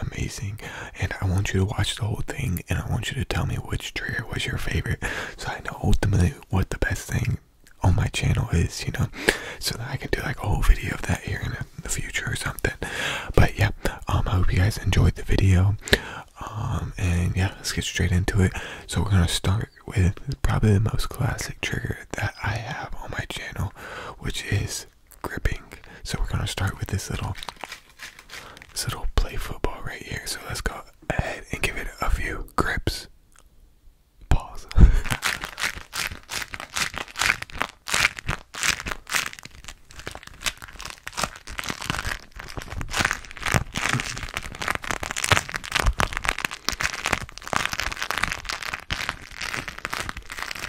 amazing and I want you to watch the whole thing and I want you to tell me which trigger was your favorite so I know ultimately what the best thing on my channel is, you know, so that I can do like a whole video of that here in the future or something. But yeah, um, I hope you guys enjoyed the video. Um, and yeah, let's get straight into it. So we're gonna start with probably the most classic trigger that I have on my channel, which is gripping. So we're gonna start with this little this little play football right here. So let's go ahead and give it a few grips. Pause.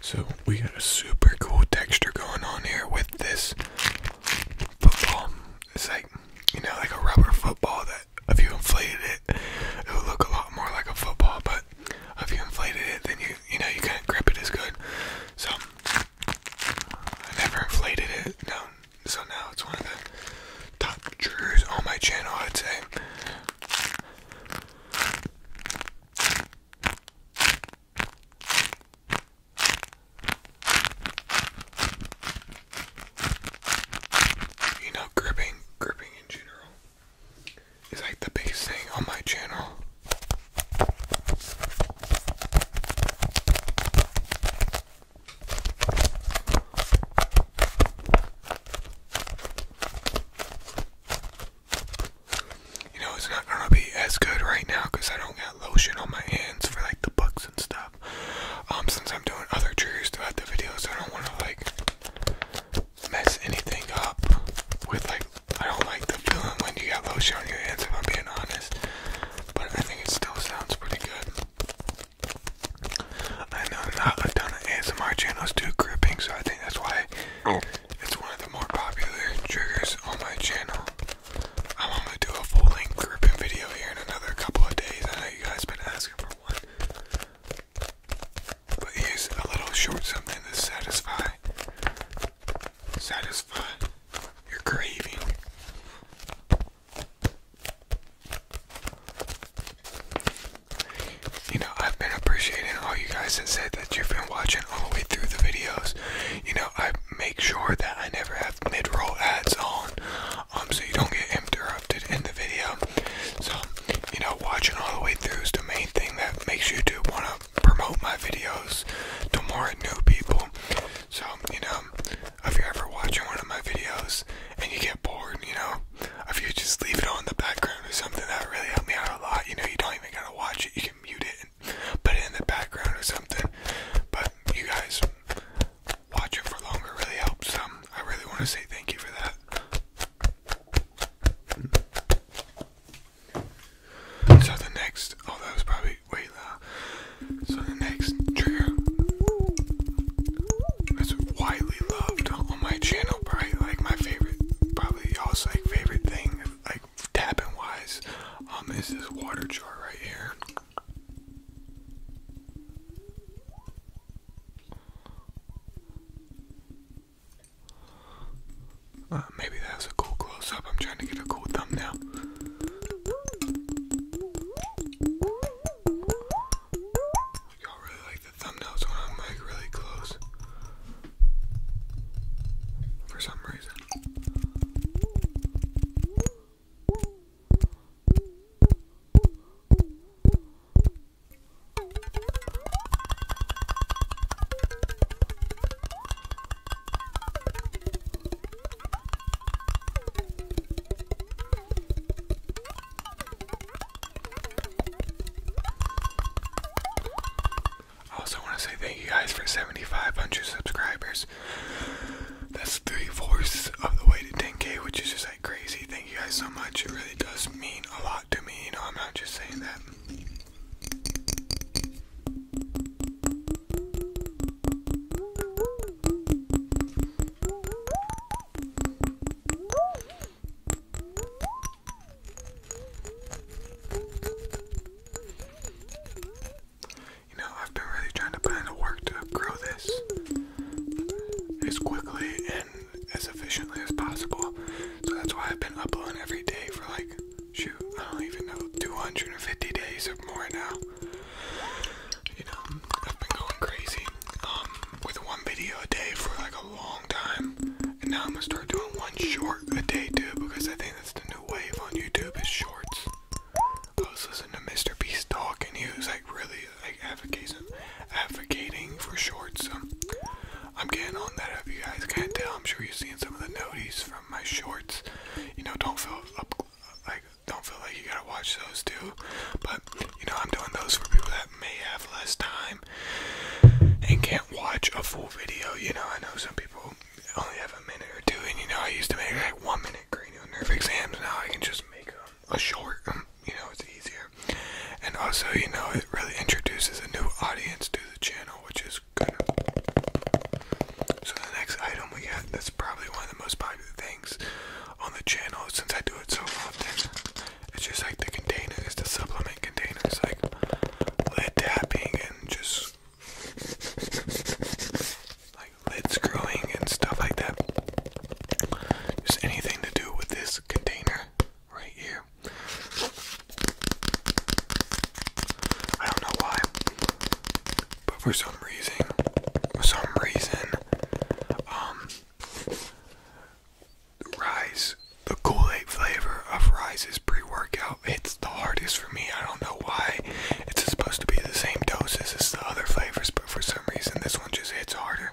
So we got a super cool texture going on here with this football. It's like you know, like a rubber football that if you inflated it, it would look a lot more like a football, but if you inflated it, then you you know you can not grip it as good. So I never inflated it. No, so now it's one of the top jewelers on my channel. I'd say. You know, gripping, gripping in general is like the biggest thing on my channel. You know, it's not gonna be as good right now because I don't got lotion on my hands for like the bugs and stuff. Um, since I'm doing other triggers throughout the videos, I don't want to like mess anything up with like I don't like the feeling when you got lotion on your hands if I'm being honest. But I think it still sounds pretty good. I know not a ton of ASMR channels do gripping, so I think that's why oh. it's one of the more popular triggers on my channel. I'm gonna do a full length gripping video here in another couple of days. I know you guys been asking for one. But here's a little short something to satisfy satisfy your craving. You know, I've been appreciating all you guys that said that you've been watching all the way through the videos. You know, I make sure that I never have mid-roll ads on, um, so you don't get interrupted in the video. So, you know, watching all the way through is the main thing that makes you do want to promote my videos to more new people. So, you know, if you're ever watching one of my videos and you get bored, you know, if you just leave it on the background or something, that really helps me out a lot. You know, you don't even gotta watch it, you can mute it and put it in the background or something. But you guys watching for longer really helps. Um, I really want to say thank you for that. So the next, oh that was probably way loud. So the next trigger that's widely loved on my channel, probably like my favorite, probably y'all's like favorite thing, like tapping wise, um, this is water jar right here. Uh, maybe that was a cool close up. I'm trying to get a cool thumbnail. Y'all really like the thumbnails when I'm like really close. For some reason. Also, want to say thank you guys for 7,500 subscribers. That's three fourths of the way to 10k, which is just like crazy. Thank you guys so much. It really does mean a lot to me. You know, I'm not just saying that. You know, I've been really trying to put in the work to grow this as quickly as efficiently as possible. So that's why I've been uploading every day for like, shoot, I don't even know, 250 days or more now. You know, I've been going crazy um, with one video a day for like a long time. And now I'm gonna start doing one short a day too because I think that's the new wave on YouTube is shorts. I was listening to Mr. Beast talk and he was like really like advocating, advocating for shorts. I'm getting on that if you guys can't tell. I'm sure you have seen some of the noties from my shorts. You know, don't feel like don't feel like you gotta watch those too. But you know, I'm doing those for people that may have less time and can't watch a full video. You know, I know some people only have a minute or two, and you know, I used to make like one minute cranial nerve exams. Now I can just make a short. Um, you know, it's easier. And also, you know, it really introduces a new audience to the channel, which is good. So the next item we got that's probably one of the most popular things on the channel since I do it so often. It's just like the containers, the supplement containers, like lid tapping and just like lid screwing and stuff like that. Just anything to do with this container right here. I don't know why, but for some reason, for some reason, um, Rise, the Kool Aid flavor of rice—is pre workout It's the hardest for me. I don't know why. It's supposed to be the same doses as the other flavors, but for some reason, this one just hits harder.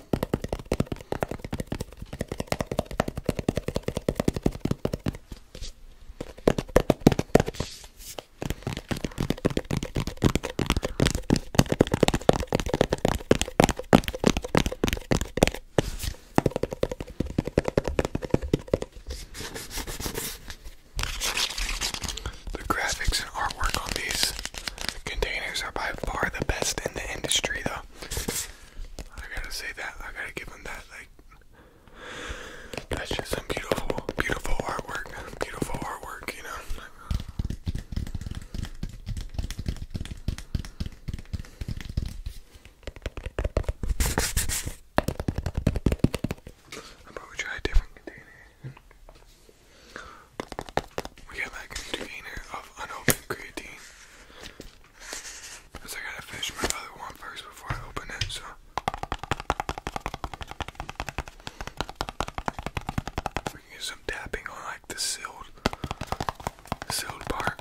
The graphics and artwork on these containers are by far the best in the industry, though. I gotta say that. I gotta give him that. Like, that's just some beautiful, beautiful artwork. Beautiful artwork, you know. I'll probably try a different container. We got like an container of unopened creatine. Cause I gotta finish my other one first before I open it, so. We can get some tapping on like the sealed, sealed part.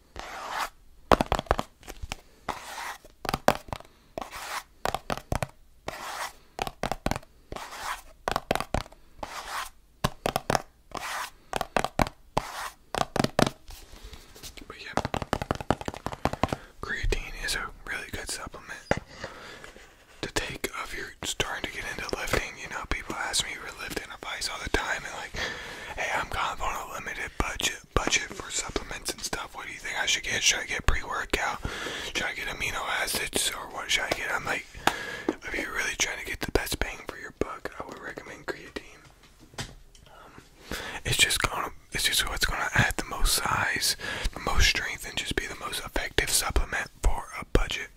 But yeah, creatine is a really good supplement to take if you're starting to get into lifting. You know, people ask me for lifting, all the time and like, hey, I'm kind of on a limited budget budget for supplements and stuff. What do you think I should get? Should I get pre-workout? Should I get amino acids or what should I get? I'm like, if you're really trying to get the best bang for your buck, I would recommend creatine. Um, it's just gonna, it's just what's gonna add the most size, the most strength, and just be the most effective supplement for a budget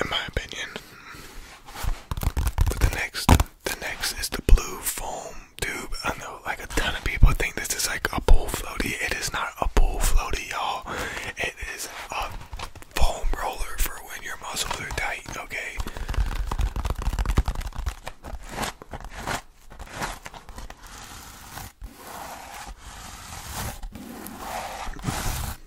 in my opinion. But the next, the next is the blue foam tube. I know, like a ton of people think this is like a pool floaty. It is not a pool floaty, y'all. It is a foam roller for when your muscles are tight. Okay.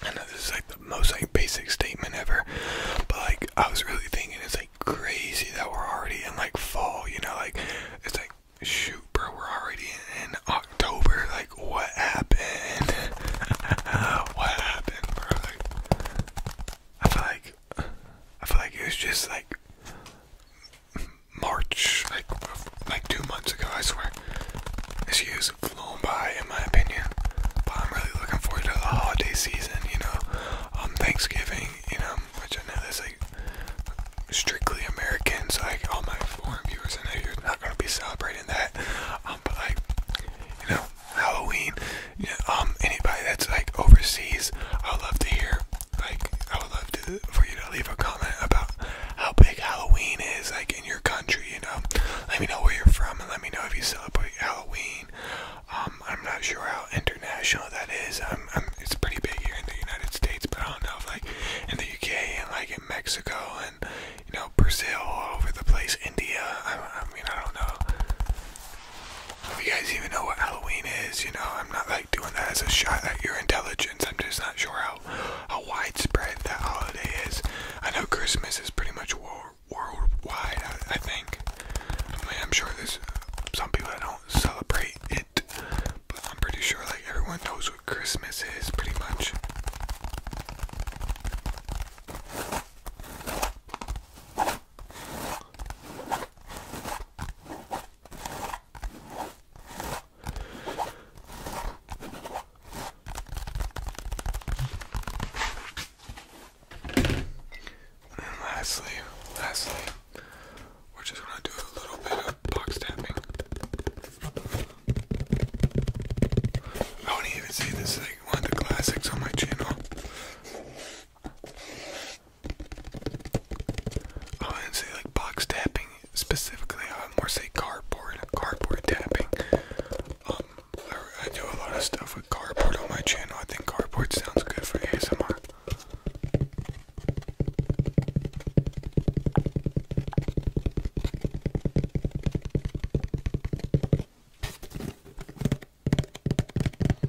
I know this is like the most like basic statement ever, but like I was really thinking it's like crazy that we're already in like fall, you know, like it's like shoot bro, we're already in, October, like what happened? what happened, bro? I feel like I feel like it was just like March, like like two months ago. I swear, this year's flown by, in my opinion. But I'm really looking forward to the holiday season. You know, um, Thanksgiving. You know, which I know is like strictly Americans. like all my foreign viewers, I know you're not gonna be celebrating that. Um, but like, you know, Halloween. um, anybody that's like overseas, I'd love to hear like, I would love to for you to leave a comment about how big Halloween is, like in your country. You know, let me know where you're from, and let me know if you celebrate Halloween. Um, I'm not sure how international that is. Um, I'm, it's pretty big here in the United States, but I don't know if like in the UK and like in Mexico and you know Brazil, all over the place, India. I, I mean, I don't know if you guys even know what Halloween is. You know, I'm not doing that as a shot at your intelligence. I'm just not sure how, how widespread that holiday is. I know Christmas is pretty much world, wide. I, think. I'm sure there's some people that don't celebrate it, but I'm pretty sure like everyone knows what Christmas is pretty much. And lastly, lastly, we're just gonna do a little bit of box tapping. I wouldn't even say this is one of the classics on my channel. I oh, would say like box tapping specifically. I would more say cardboard, cardboard tapping. Um, I do a lot of stuff with cardboard on my channel. I think cardboard sounds good for ASMR.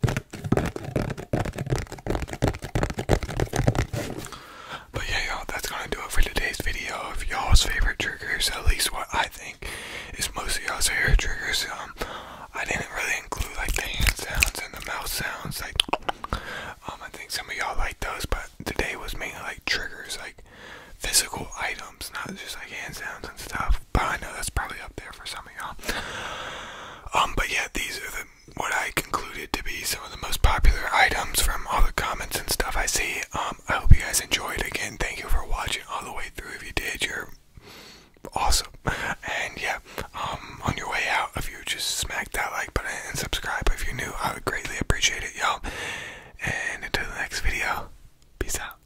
But yeah, y'all, that's gonna do it for today's video of y'all's favorite triggers, at least what I think is mostly y'all's favorite triggers. Um, I didn't really include like the hand sounds and the mouth sounds, like, um, I think some of y'all like those, but today was mainly like triggers, like physical items, not just like hand sounds and stuff but I know that's probably up there for some of y'all. Um, but yeah, these are the what I concluded to be some of the most popular items from all the comments and stuff I see. Um, I hope you guys enjoyed. Again, thank you for watching all the way through. If you did, you're awesome. And yeah, um, on your way out, if you just smack that like button and subscribe if you're new, I would greatly appreciate it, y'all. And until the next video, peace out.